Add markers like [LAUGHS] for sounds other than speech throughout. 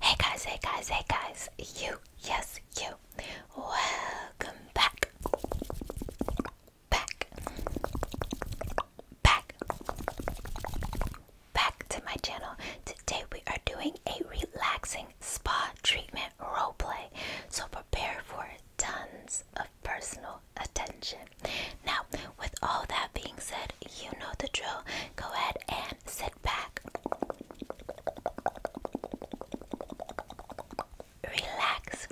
Hey guys, hey guys, hey guys, you, yes, you. Welcome back. Back. Back. Back to my channel. Today we are doing a relaxing spa treatment role play. So prepare for tons of personal attention. Now, with all that being said, you know the drill. Go ahead and sit back, relax,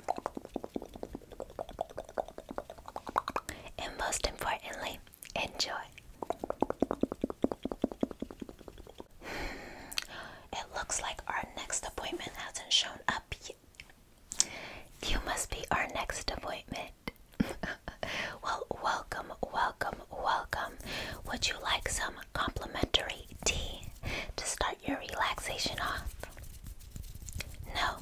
and most importantly, enjoy. [SIGHS] It looks like our next appointment hasn't shown up yet. You must be our next appointment. [LAUGHS] well, welcome, welcome, welcome. Would you like some complimentary tea to start your relaxation off? No?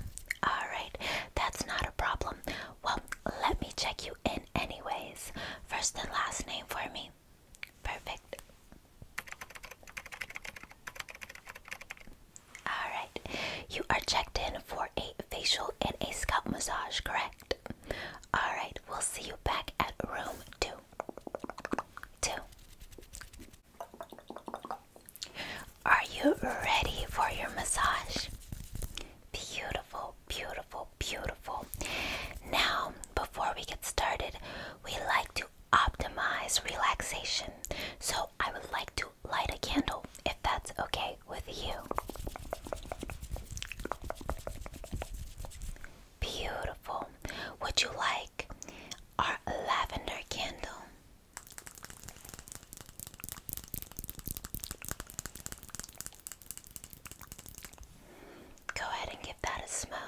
Alright, that's not a problem. Well, let me check you in, anyways. First and last name for me. Perfect. Alright, you are checked in for a facial and a scalp massage, correct? Alright, we'll see you back at room two. Two. Are you ready for your massage? Beautiful, beautiful, beautiful. Now, before we get started, we like to optimize relaxation. So I would like to light a candle if that's okay with you. Beautiful. Would you like our lavender candle? Go ahead and give that a smell.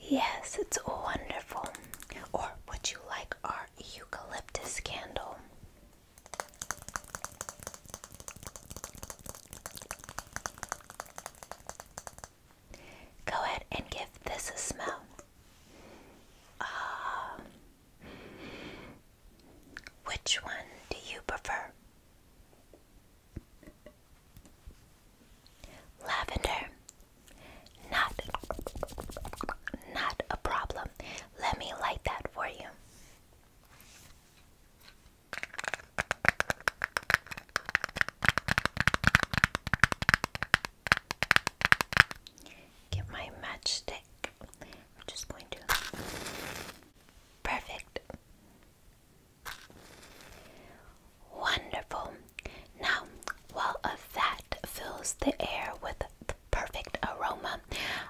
Yes, it's wonderful. Or would you like our eucalyptus candle? Go ahead and give this a smell. Uh, which one do you prefer? Lavender. Not not a problem. Let me light that for you. Get my matchstick. I'm just going to. Perfect. Wonderful. Now, while a vat fills the air with perfect aroma.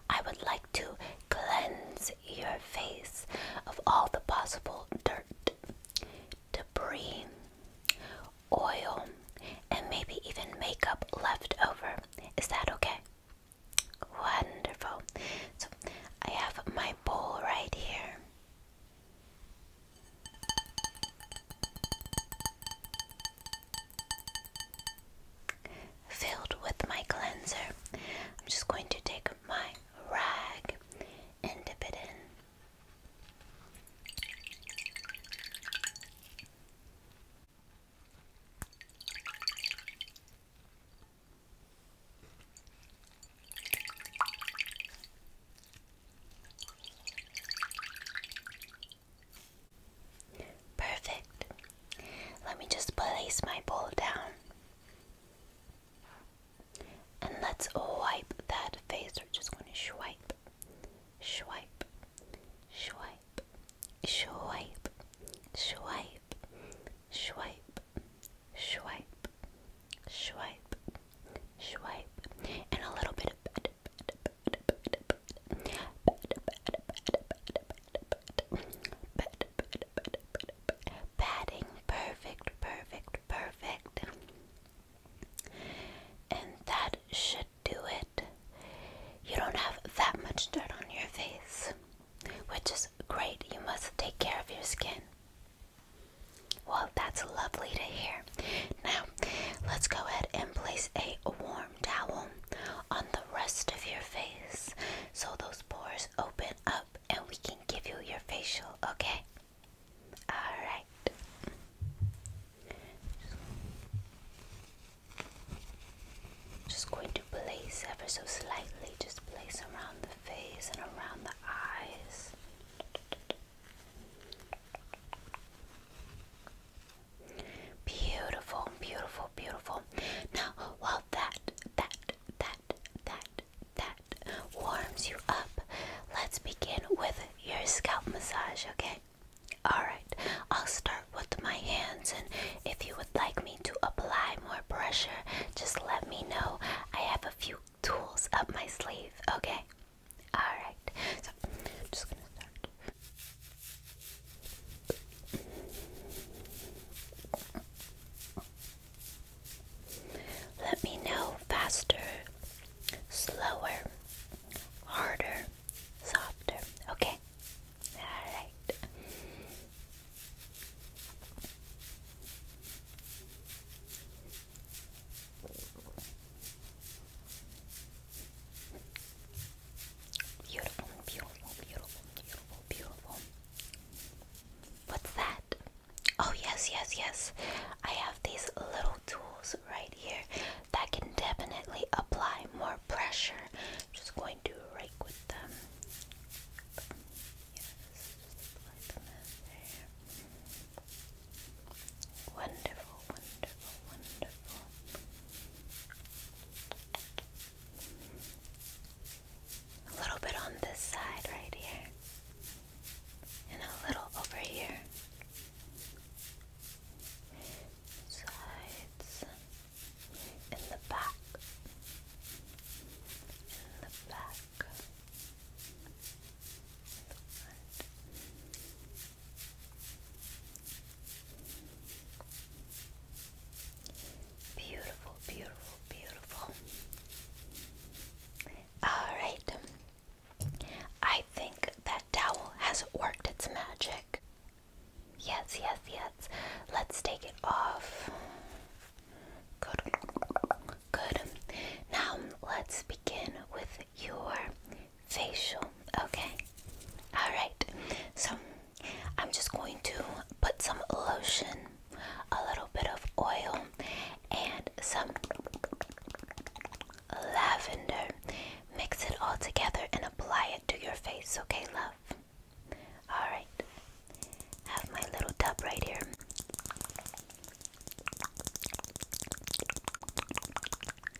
I would like to cleanse your face of all the possible dirt, debris, oil, and maybe even makeup left over. Is that okay? Wonderful. So I have my bowl right here. Filled with my cleanser, I'm just going to take my rag and dip it in. Perfect. Let me just place my bowl down. And let's wipe that face. We're just going to swipe, swipe, swipe, swipe, swipe, swipe, swipe, swipe, swipe, and a little bit of Batting, perfect, perfect, perfect. And that should do it. You don't have that much dirt on your face, which is great. You must take care of your skin. Well, that's lovely to hear. Now, let's go ahead and place a warm towel on the rest of your face so those pores open up and we can give you your facial, okay? Alright. Just going to place ever so slightly, just place around the face and around the eyes. Beautiful, beautiful, beautiful. Now, while that, that, that, that, that warms you up, let's begin with your scalp massage, okay? Alright, I'll start with my hands, and if you would like me to apply more pressure, just let me know. I have a few tools up my sleeve, okay? Alright, so just gonna start let me know faster, slower, harder, softer. Okay? Alright. Beautiful, beautiful, beautiful, beautiful, beautiful. What's that? Oh, yes, yes, yes. I have these little tools right here that can definitely apply more pressure. just going to rake with them. Yes, Wonderful, wonderful, wonderful. A little bit on this side right here, and a little over here. Sides in the back, in the back, Beautiful, beautiful, beautiful. Alright. I think that towel has worked its magic. Yes, yes, yes. Let's take it off. Good. Good. Now let's begin with your facial. Okay, all right. So I'm just going to put some lotion, a little bit of oil, and some lavender. Mix it all together and apply it to your face. Okay, love. All right. Have my little tub right here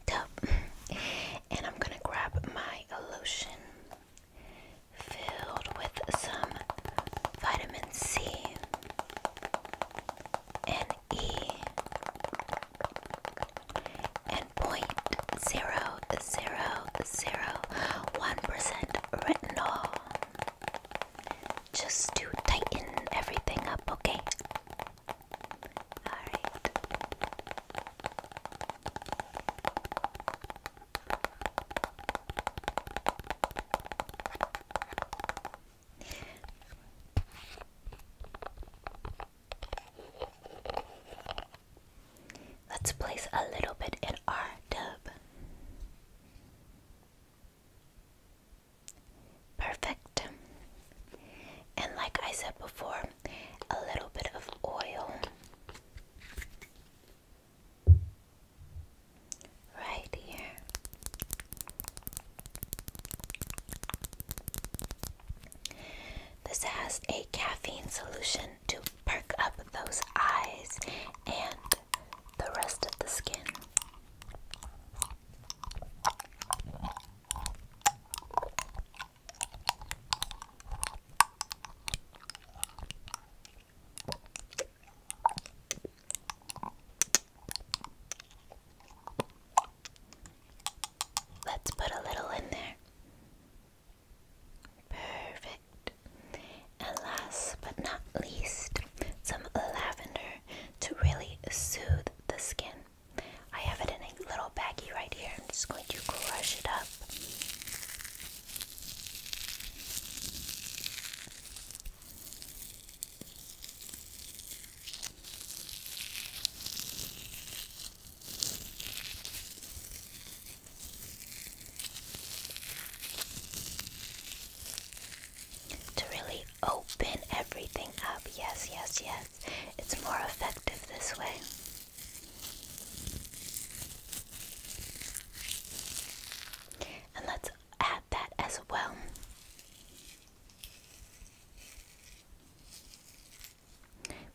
tub. And I'm gonna grab my lotion filled with some vitamin C and E and point zero zero zero one percent retinol just to tighten everything up, okay? Alright. Let's place a little bit in our dub. Perfect. And like I said before, a little bit of oil. Right here. This has a caffeine solution to perk up those eyes and the rest of the skin. Let's put a little in there. Perfect. And last but not least, some lavender to really soothe the skin. I have it in a little baggie right here. I'm just going to crush it up. To really open everything up. Yes, yes, yes it's more effective this way. And let's add that as well.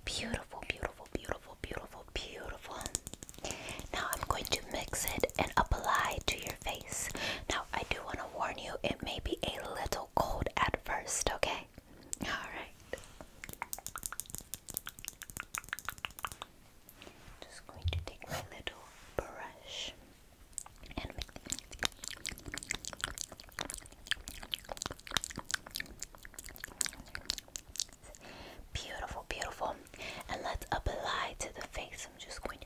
Beautiful, beautiful, beautiful, beautiful, beautiful. Now I'm going to mix it and apply to your face. Now I do want to warn you, it may be a little cold at first, okay? All right. Just going to take my little brush and Beautiful, beautiful. And let's apply to the face. I'm just going to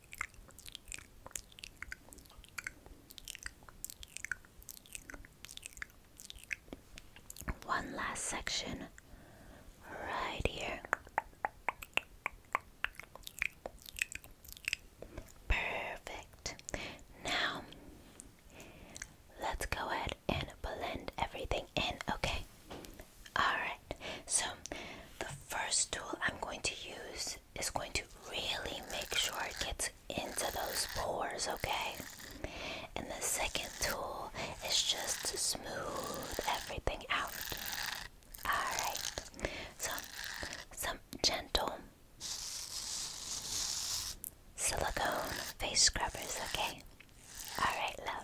One last section right here. Perfect. Now, let's go ahead and blend everything in, okay? Alright, so the first tool I'm going to use is going to really make sure it gets into those pores, okay? And the second tool is just to smooth everything out. Alright, so some gentle silicone face scrubbers, okay? Alright, love.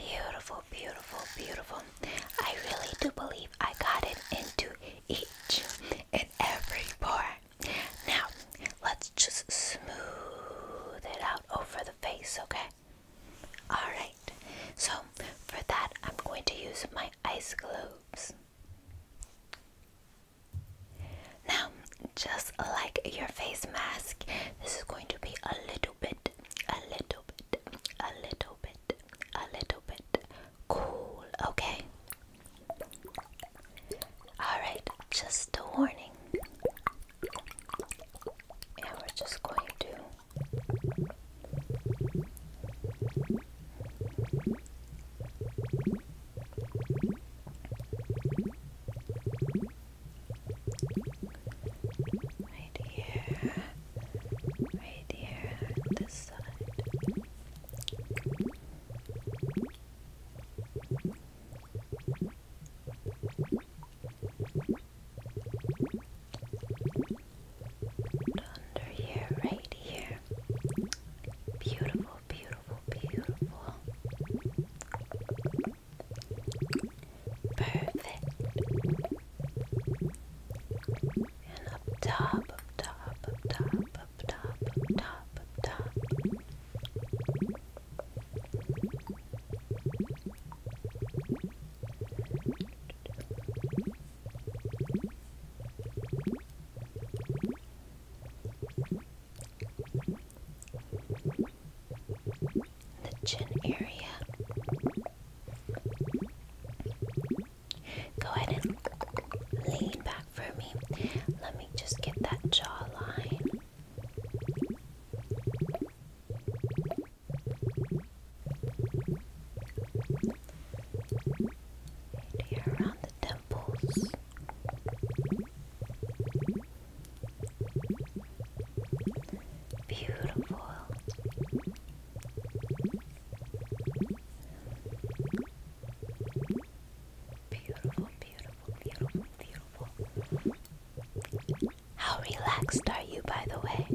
Beautiful, beautiful, beautiful. I really do believe I got it into each and every pore. Now, let's just smooth it out over the face, okay? Alright, so for that, I'm going to use my ice globes. Now, just like your face mask, this is going to be a little bit, a little bit, a little bit, a little bit cool, okay? Alright, just a warning. And we're just going to. Right here, right here, this side. Under here, right here. Beautiful, beautiful, beautiful, beautiful. Perfect. And up top, up top, up top, up top, up top, up top the chin area. Go ahead and lean back for me. Let me just get that jawline. Here around the temples. Beautiful. Beautiful, beautiful, beautiful, How relaxed are you, by the way?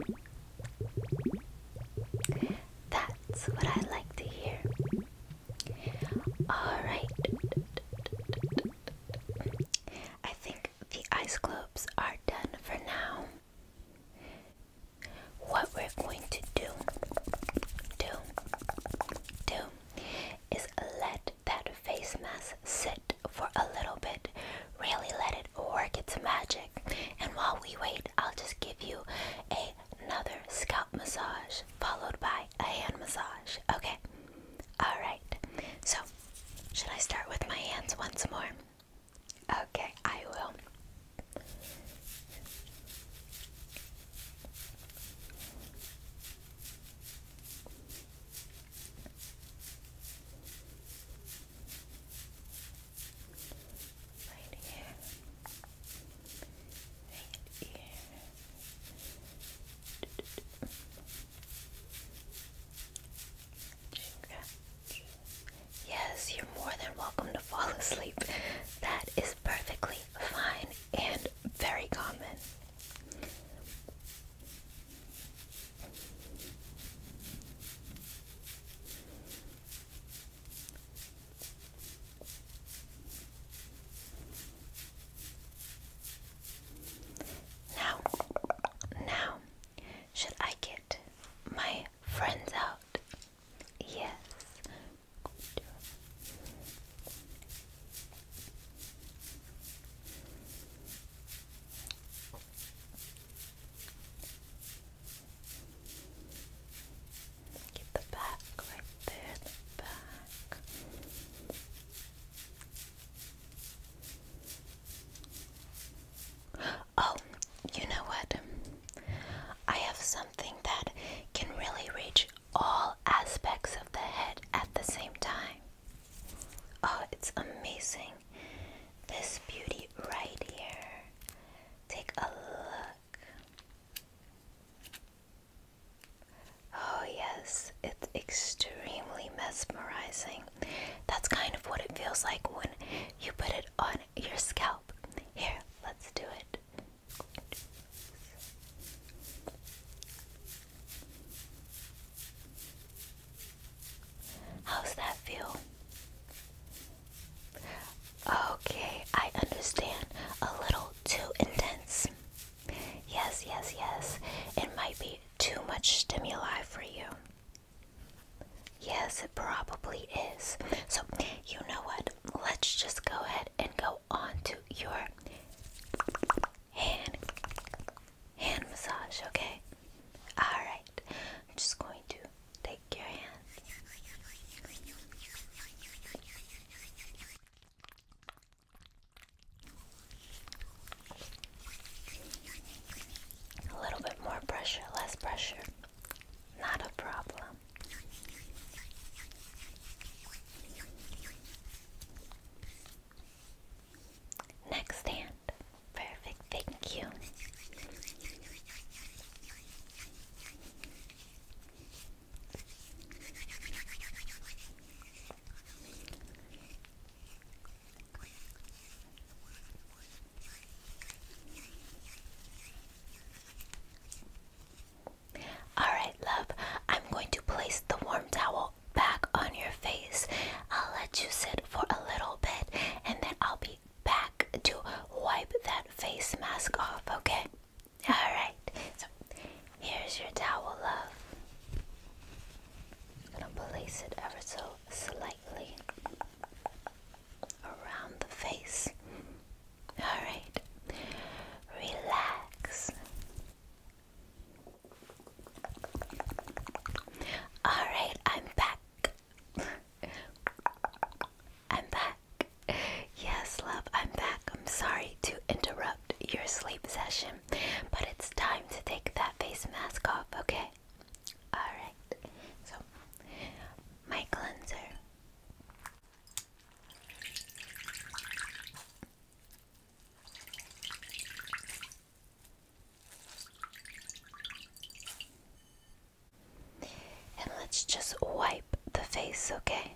That's what I like to hear. Alright. I think the ice globes are done for now. What we're going to do, do, do is let that face mask sit for a little bit. Really let it work its magic. And while we wait, I'll just give you another scalp massage followed by a hand massage. Okay. Alright, so should I start with my hands once more? Okay, I will. Right here. Right here. Yes, you're more than welcome to fall asleep. That is perfectly fine and very common. Now, now, should I get my friends out? Yes. Get the back right there, the back. Oh, you know what? I have something that can really reach all aspects of the head at the same time. Oh, it's amazing. This beauty right here. Take a look. Oh, yes, it's extremely mesmerizing. That's kind of what it feels like when you put it on your scalp. Here, let's do it. How's that feel? Okay, I understand. A little too intense. Yes, yes, yes. It might be too much stimuli for you. Yes, it probably is. So, you know what? Let's just go ahead and go on to your hand hand massage, okay? All just going to take your hand. A little bit more pressure, less pressure. Not a problem. Next hand. Perfect, thank you. All right, love, I'm going to place the warm towel back on your face. I'll let you sit for a little bit and then I'll be back to wipe that face mask off, okay? [LAUGHS] Alright, so here's your towel, love. I'm gonna place it ever so slightly around the face. Alright, relax. Alright, I'm back. [LAUGHS] I'm back. Yes, love, I'm back. I'm sorry to interrupt your sleep session, but it's time to take that face mask off, okay? Alright, so my cleanser. And let's just wipe the face, okay?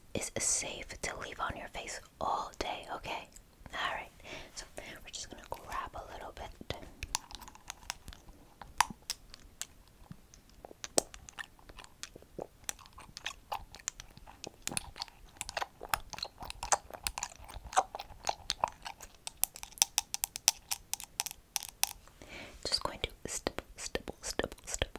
is safe to leave on your face all day, okay? Alright, so we're just gonna grab a little bit. Just going to stipple, stipple, stipple, stipple,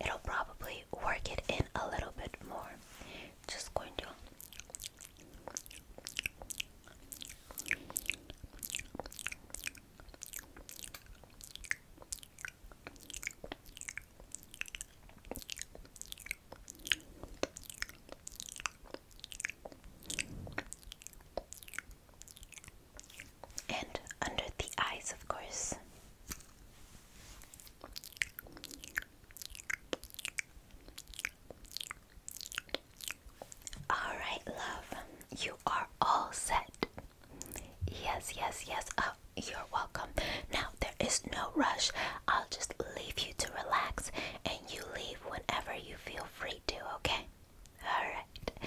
it'll probably work it in a little bit more. Just going to and under the eyes, of course. All right, love, you are all set. Yes, yes, yes. Oh, you're welcome. Now, there is no rush. I'll just leave you to relax and you leave whenever you feel free to, okay? All right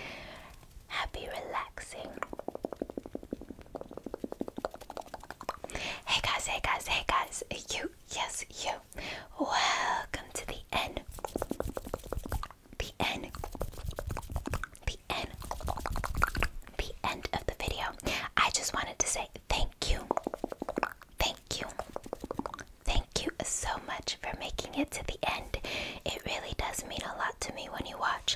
happy relaxing. Hey guys, hey guys, hey guys, you, yes, you. Welcome to the end. The end. The end. The end of the video. I just wanted to say thank you. Thank you. Thank you so much for making it to the end. It really does mean a lot to me when you watch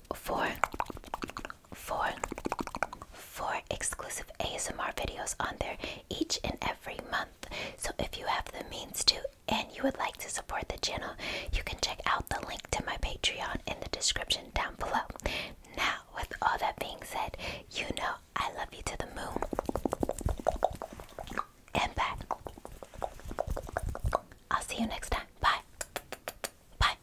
you for exclusive ASMR videos on there each and every month. So if you have the means to and you would like to support the channel, you can check out the link to my Patreon in the description down below. Now, with all that being said, you know I love you to the moon and back. I'll see you next time. Bye. Bye.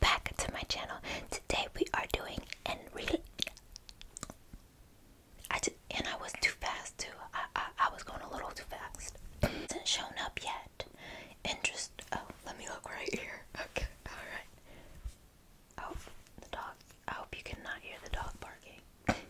Back to my channel. Today we are doing and really I just, and I was too fast too. I, I was going a little too fast. Hasn't shown up yet. Interest. Oh, let me look right here. Okay. All right. Oh, the dog. I hope you cannot hear the dog barking.